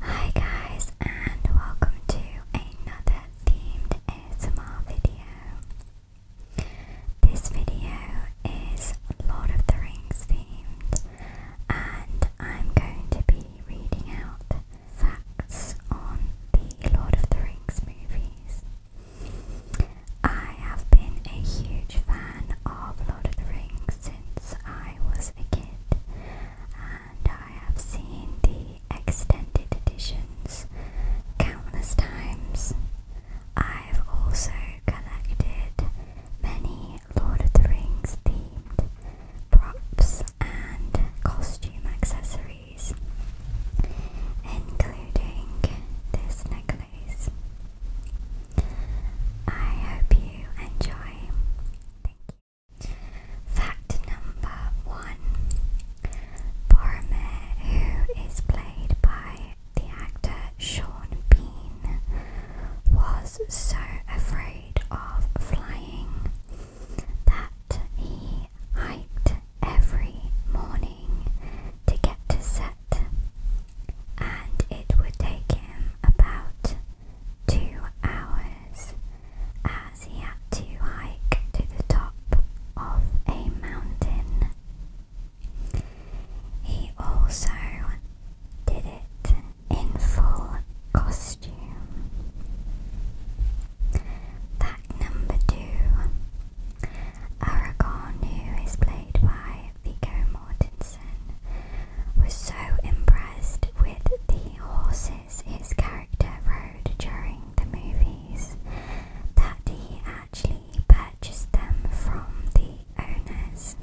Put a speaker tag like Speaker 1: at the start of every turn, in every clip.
Speaker 1: Hi guys and welcome to another themed ASMR video. This video is Lord of the Rings themed and I'm going to be reading out facts on the Lord of the Rings movies. I have been a huge fan of Lord of the Rings since I was a kid, and I have seen the extended editions countless times. I've also collected many Lord of the Rings themed props and costume accessories, including this necklace. I hope you enjoy. Thank you. Fact number one Boromir, who is played by the actor Sean Bean, was so afraid of flying that he hiked every morning to get to set, and it would take him about two hours as he had to hike to the top of a mountain. He also did it in full costume. Fact number two Aragorn, who is played by Viggo Mortensen was so impressed with the horses his character rode during the movies that he actually purchased them from the owners.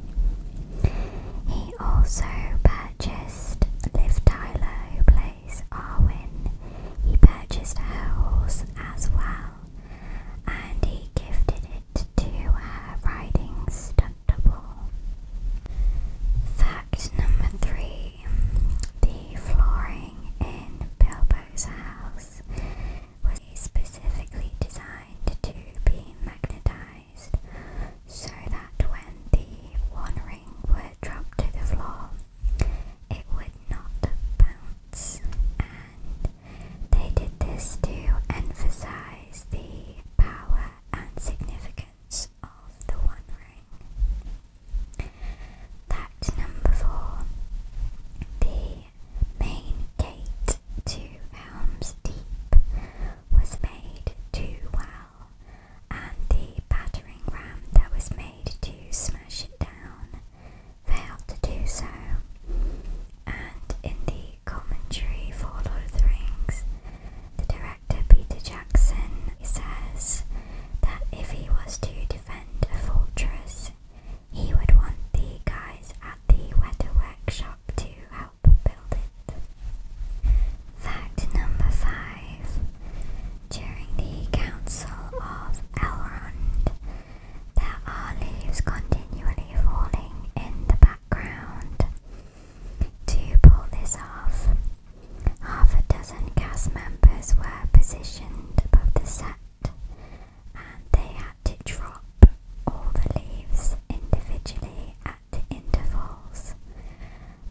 Speaker 1: He also purchased Liv Tyler, who plays Arwen. He purchased her horse as well, and he gifted it to her riding st Fact number three the flooring in Bilbo's house was specifically designed to be magnetized so that when the one ring would to the floor, it would not bounce. they did this to emphasize the power and significance of the One Ring. Fact number four the main gate to Helm's Deep was made too well, and the battering ram that was made to smash it down failed to do so, and in the commentary for Lord of the Rings, the director Peter Jackson says that if he was to defend a fortress, he would want the guys at the Wetterwork Workshop to help build it. Fact number five. During the Council of Elrond, there are leaves continually falling in the background, to pull this off, half a dozen cast members were positioned above the set and they had to drop all the leaves individually at intervals.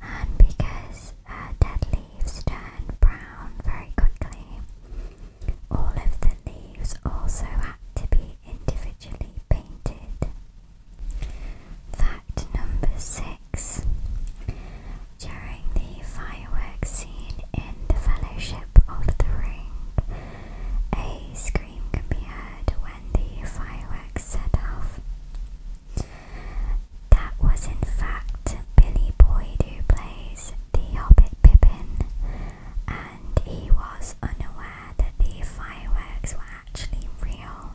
Speaker 1: And because uh, dead leaves turn brown very quickly, all of the leaves also had to be individually painted Fact number six. During the fireworks scene in The Fellowship of the Ring, a scream can be heard when the fireworks set off. That was in fact Billy Boyd who plays the Hobbit Pippin and he was unaware that the fireworks were actually real,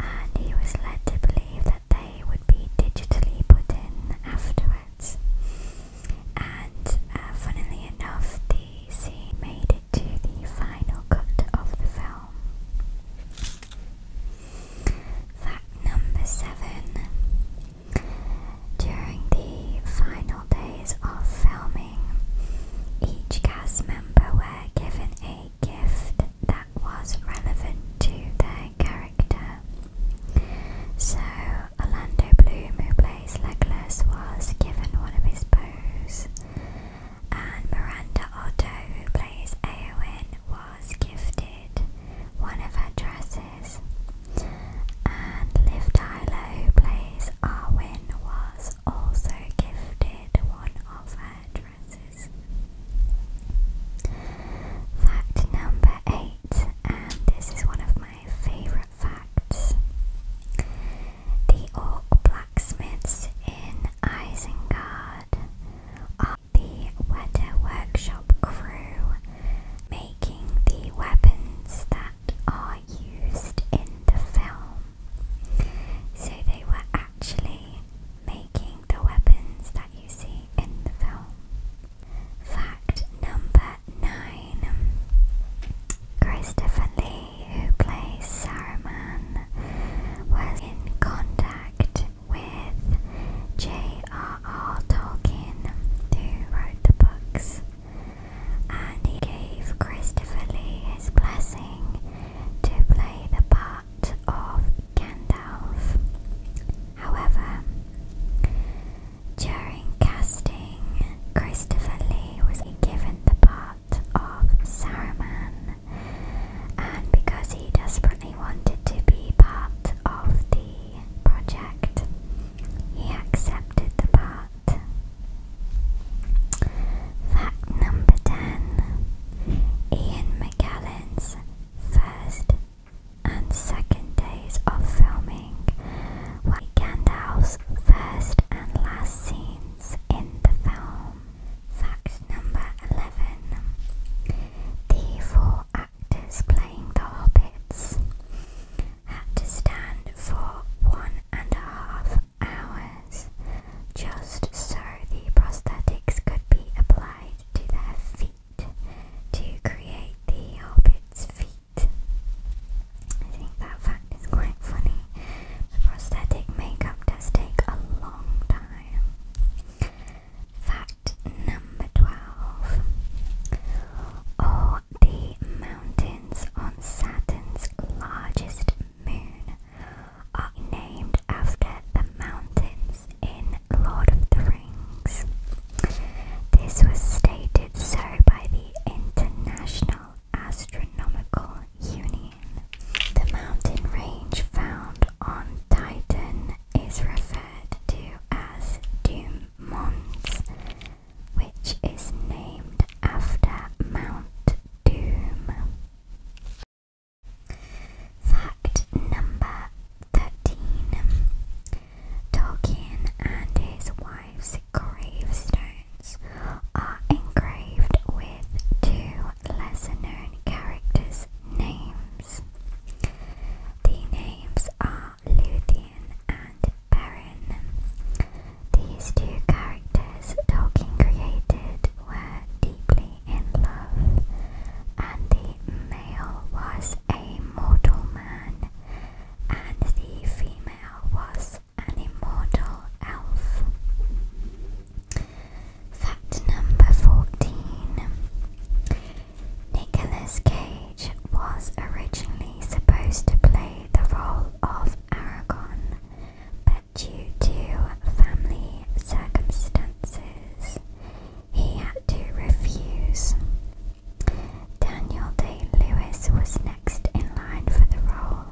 Speaker 1: and he was led to believe that they would be digitally put in afterwards. And uh, funnily enough, the scene made it to the final cut of the film. Fact number seven. During the final days of filming, each cast member were given a gift that was relevant to their character. So, Orlando Bloom, who plays Legolas, was given one of his bows, and Miranda Otto, who plays Eowyn, was gifted one of her dresses, and Liv Tyler, who plays Arwen, was also gifted one of her dresses. Fact number eight, and this is one of my favourite facts. The orc blacksmiths in Isengard are the Wedder workshop crew making the weapons that are used in the film. So they were actually making the weapons that you see in the film. Fact number 9 Christopher Lee, who plays Saruman, was in contact with J.R.R. Tolkien, who wrote the books and he gave Christopher Lee his blessing to play the part of Gandalf. However, during casting, Christopher Lee was given the part of Saruman, and because he desperately wanted to be part of the project, he accepted the part. Fact number 10 Ian McGallan's first and second days of filming were Gandalf's first and last scenes in the film. Fact number 11 The four actors playing the hobbits had to stand for one and a half hours just so the prosthetics could be applied to their feet to create the hobbit's feet. I think that fact is quite funny. The prosthetic makeup does take a long time. Fact number 12. All the mountain mountains on Saturn's largest moon are named after the mountains in Lord of the Rings. This was stated so by the International Astronomical Union. The mountain range found on Titan is referred to as Doom Mons which is named after Mount Doom. Fact number 13 Tolkien and his wife's gravestones are engraved with two lesser known characters' names. The names are Luthien and Perrin. These two characters Tolkien created were deeply in love, and the male was a mortal man, and the female was an immortal elf. Fact number 14 Nicolas Cage was originally supposed to play the role of Aragon, but due to family circumstances, he had to refuse. Daniel Day Lewis was next in line for the role,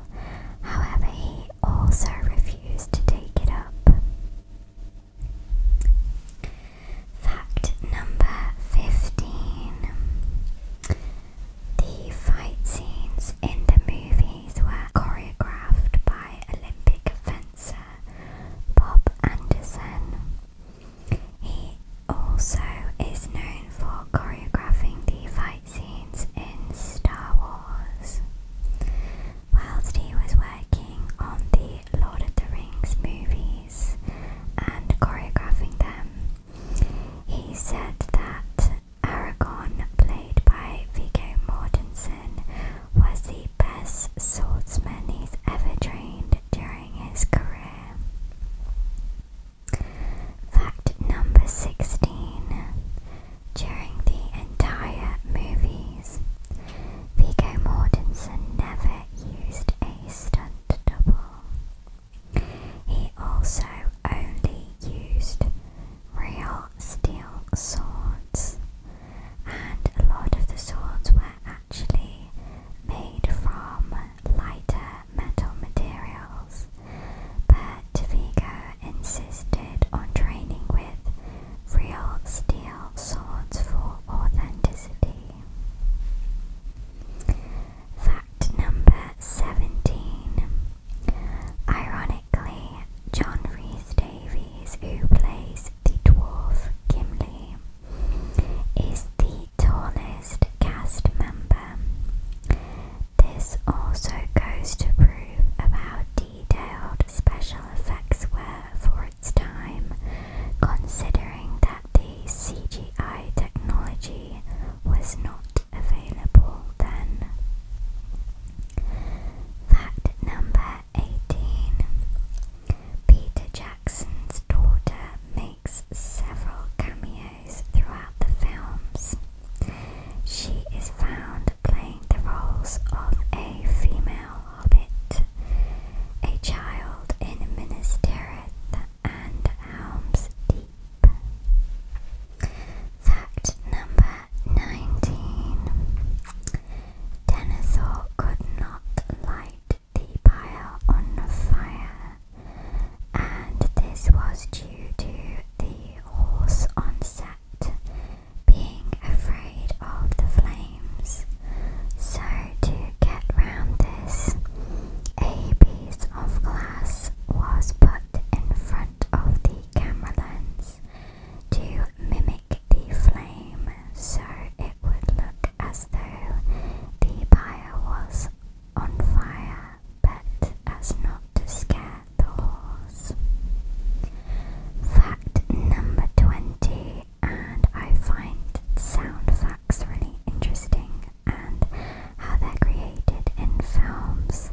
Speaker 1: however, he also refused to take it up. Fact number 15 the fight scenes in the movies were choreographed by Olympic fencer Bob Anderson. He also is known for choreographing the fight scenes in Star Wars. Whilst he was working on the Lord of the Rings movies and choreographing them, he said that Aragon, played by Viggo Mortensen, was the best swordsman he's ever trained during his career. Fact number 16. During the entire movies, Viggo Mortensen never used a stunt double. He also only used real steel swords, and a lot of the swords were actually made from lighter metal materials. But Vigo insisted on training with real steel swords for authenticity number 17. Ironically, John Rhys Davies, who plays the dwarf Gimli, is the tallest cast member. This also goes to prove of how detailed special effects were for its time, considering that the CGI technology was not available then. Fact number 18 Peter Jackson's daughter makes several cameos throughout the films. She is found playing the roles of a female hobbit, a child in Minas Tirith, and Helms Deep. Fact number 19 Denethor could not light the pyre on fire, and this was due to the horse on set being afraid of the flames. So, to get round this, a piece of glass was put in front of the camera lens to mimic the flame so it would look as though the pyre was on fire, but as not to scare the horse. Fact number 20, and I find sound facts really interesting and how they're created in films.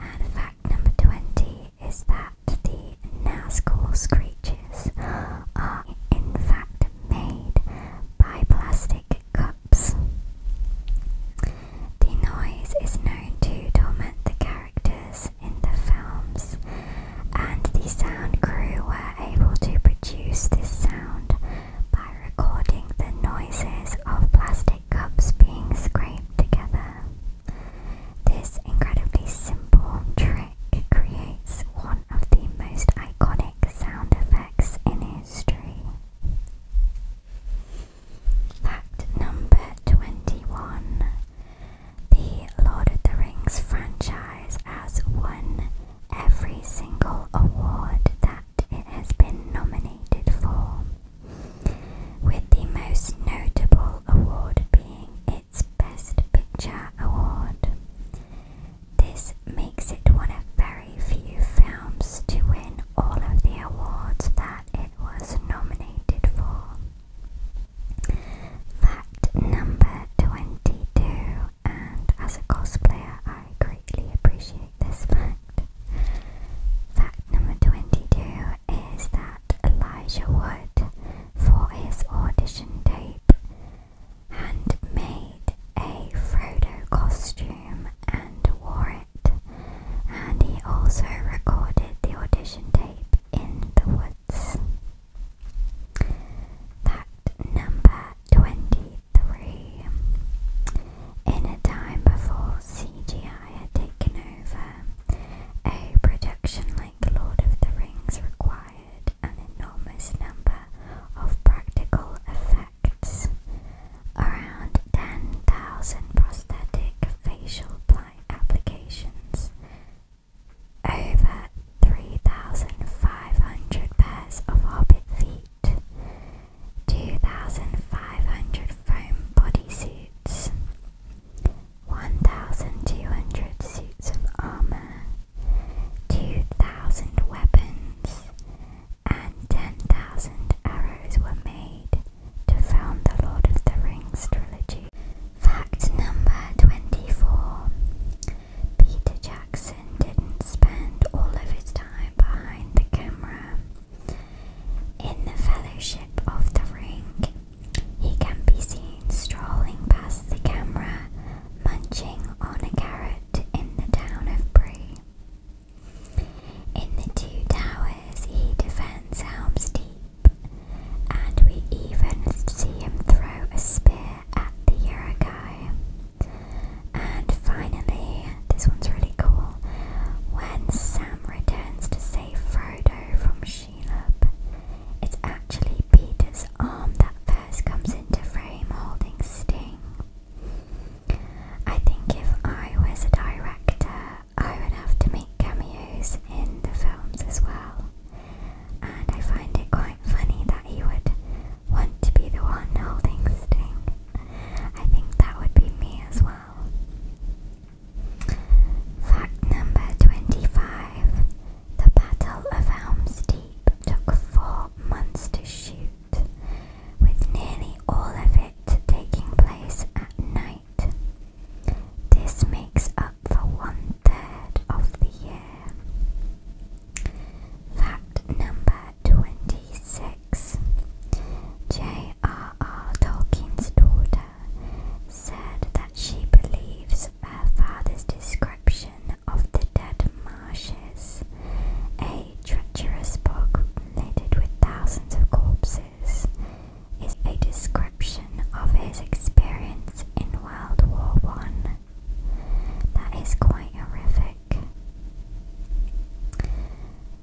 Speaker 1: And fact number 20 is that the Nazgul creatures are in fact made by plastic cups. The noise is known to torment the characters in the films, and the sound crew were able to produce this sound by recording the noises of plastic cups being scraped together. This incredibly simple trick creates one of the most iconic sound effects in history. Fact number 21 The Lord of the Rings franchise has won every single award that it has been nominated for, with the most notable award being its Best Picture Award. This makes it one of very few films to win all of the awards that it was nominated for. Fact number 22, and as a cosplayer, I greatly appreciate this fact. number 22 is that Elijah Wood, for his audition tape, made a Frodo costume and wore it, and he also recorded the audition tape in the woods. Fact number 23 3. In a time before CGI had taken over, a production like Lord of the Rings required an enormous number of practical effects. Around 10,000 prosthetic facial applications, over 3,500 pairs of hobbit feet 2,500 foam body suits, 1,200 suits of armor, 2,000 weapons, and 10,000 arrows were made to found the Lord of the Rings trilogy. Fact number 24 Peter Jackson didn't spend all of his time behind the camera. In The Fellowship of the Ring, he can be seen strolling past the camera, munching on a carrot in the town of Bree. In The Two Towers, he defends Helm's Deep, and we even see him throw a spear at the Urukai. And finally, this one's really cool. When Sam returns to save Frodo from Shelob, it's actually Peter's arm that first comes into frame holding Sting. I think if I was a director, I would have to make cameos in the films as well. And I find it quite funny that he would want to be the one holding the I think that would be me as well. Fact number 25 The Battle of Helm's Deep took four months to shoot, with nearly all of it taking place at night. This makes up for one third of the year. Fact number 26 J.R.R. Tolkien's daughter said that she believes her father's description of the Dead Marshes, a treacherous bog laden with thousands of corpses, is a description of his experience in World War One. That is quite horrific.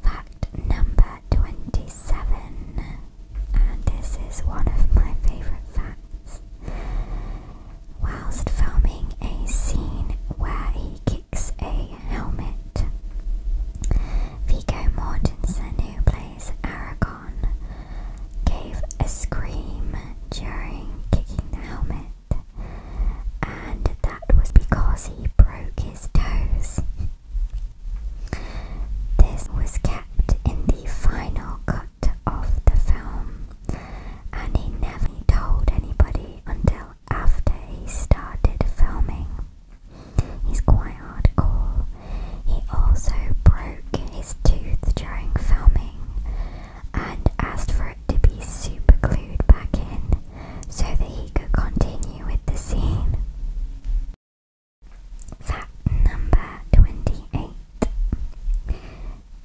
Speaker 1: Fact number 27, and this is one of my favourite facts. Whilst filming a scene where he kicks a helmet, Vigo Mortensen, who plays Aragon, gave a scream during kicking the helmet and that was because he broke his toes. This was kept in the final cut of the film, and he never told anybody until after he started filming. He's quite hardcore. He also broke his tooth during filming, and asked for it to be superglued back in so that he could continue with the scene. Fact number 28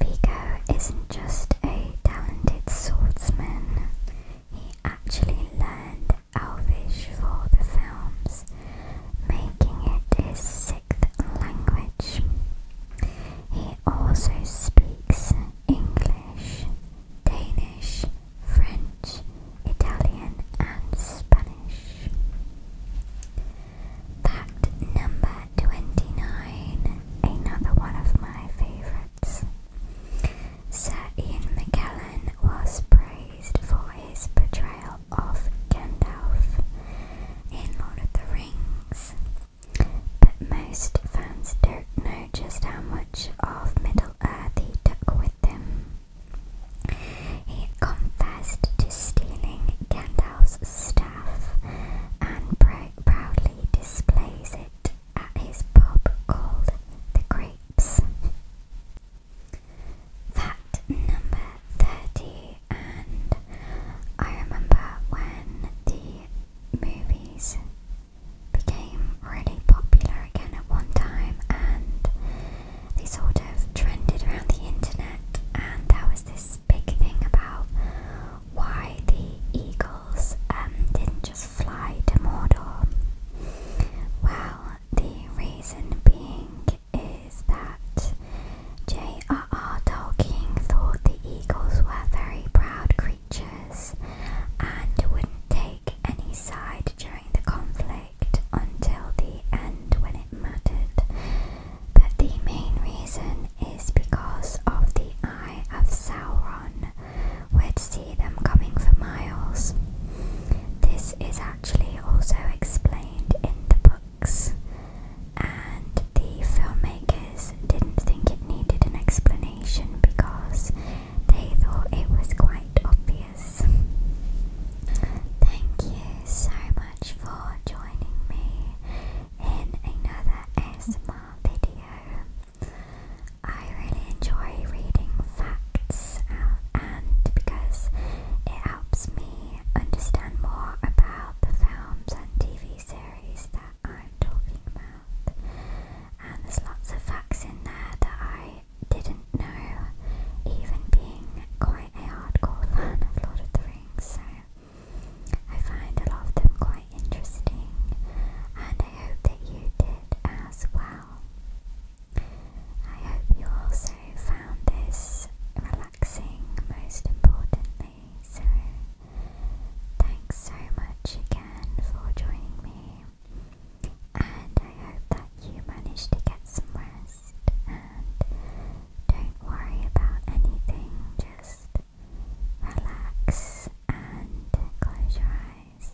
Speaker 1: Vigo isn't just a talented swordsman, he actually learned Elvish for the films, making it his sixth language. He also speaks English, Danish, French, Italian, and Spanish. That number 29, another one of my favourites. Sir Ian McKellen was praised for his portrayal of Gandalf in Lord of the Rings. But most fans don't know just how much of Middle-earth he took with him. He confessed to stealing Gandalf's staff and proudly displays it at his pub called The Grapes. Fact number 30, and I remember when the movies became really popular again at one time and they sort of trended around the internet and there was this big thing about why the eagles um, didn't just fly to Mordor. Well, the reason being is that J.R.R. Tolkien thought the eagles were very proud creatures and wouldn't take any side during the conflict until the end when it mattered. But the main reason is because of the Eye of Sauron, we'd see them coming for miles. This is actually also explained in the books, and the filmmakers didn't think it needed an explanation because they thought it was quite obvious. Thank you so much for joining me in another ASMR video. I really enjoy reading facts out and because it helps me understand more about the films and TV series that I'm talking about. And there's lots of facts in there that I didn't know, even being quite a hardcore fan of Lord of the Rings. So I find a lot of them quite interesting, and I hope that you did as well. I hope you also found this relaxing, most importantly. So thanks so much again for joining me. And I hope that you managed to get some rest. And don't worry about anything, just relax and close your eyes.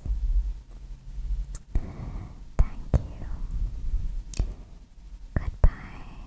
Speaker 1: Thank you. Goodbye.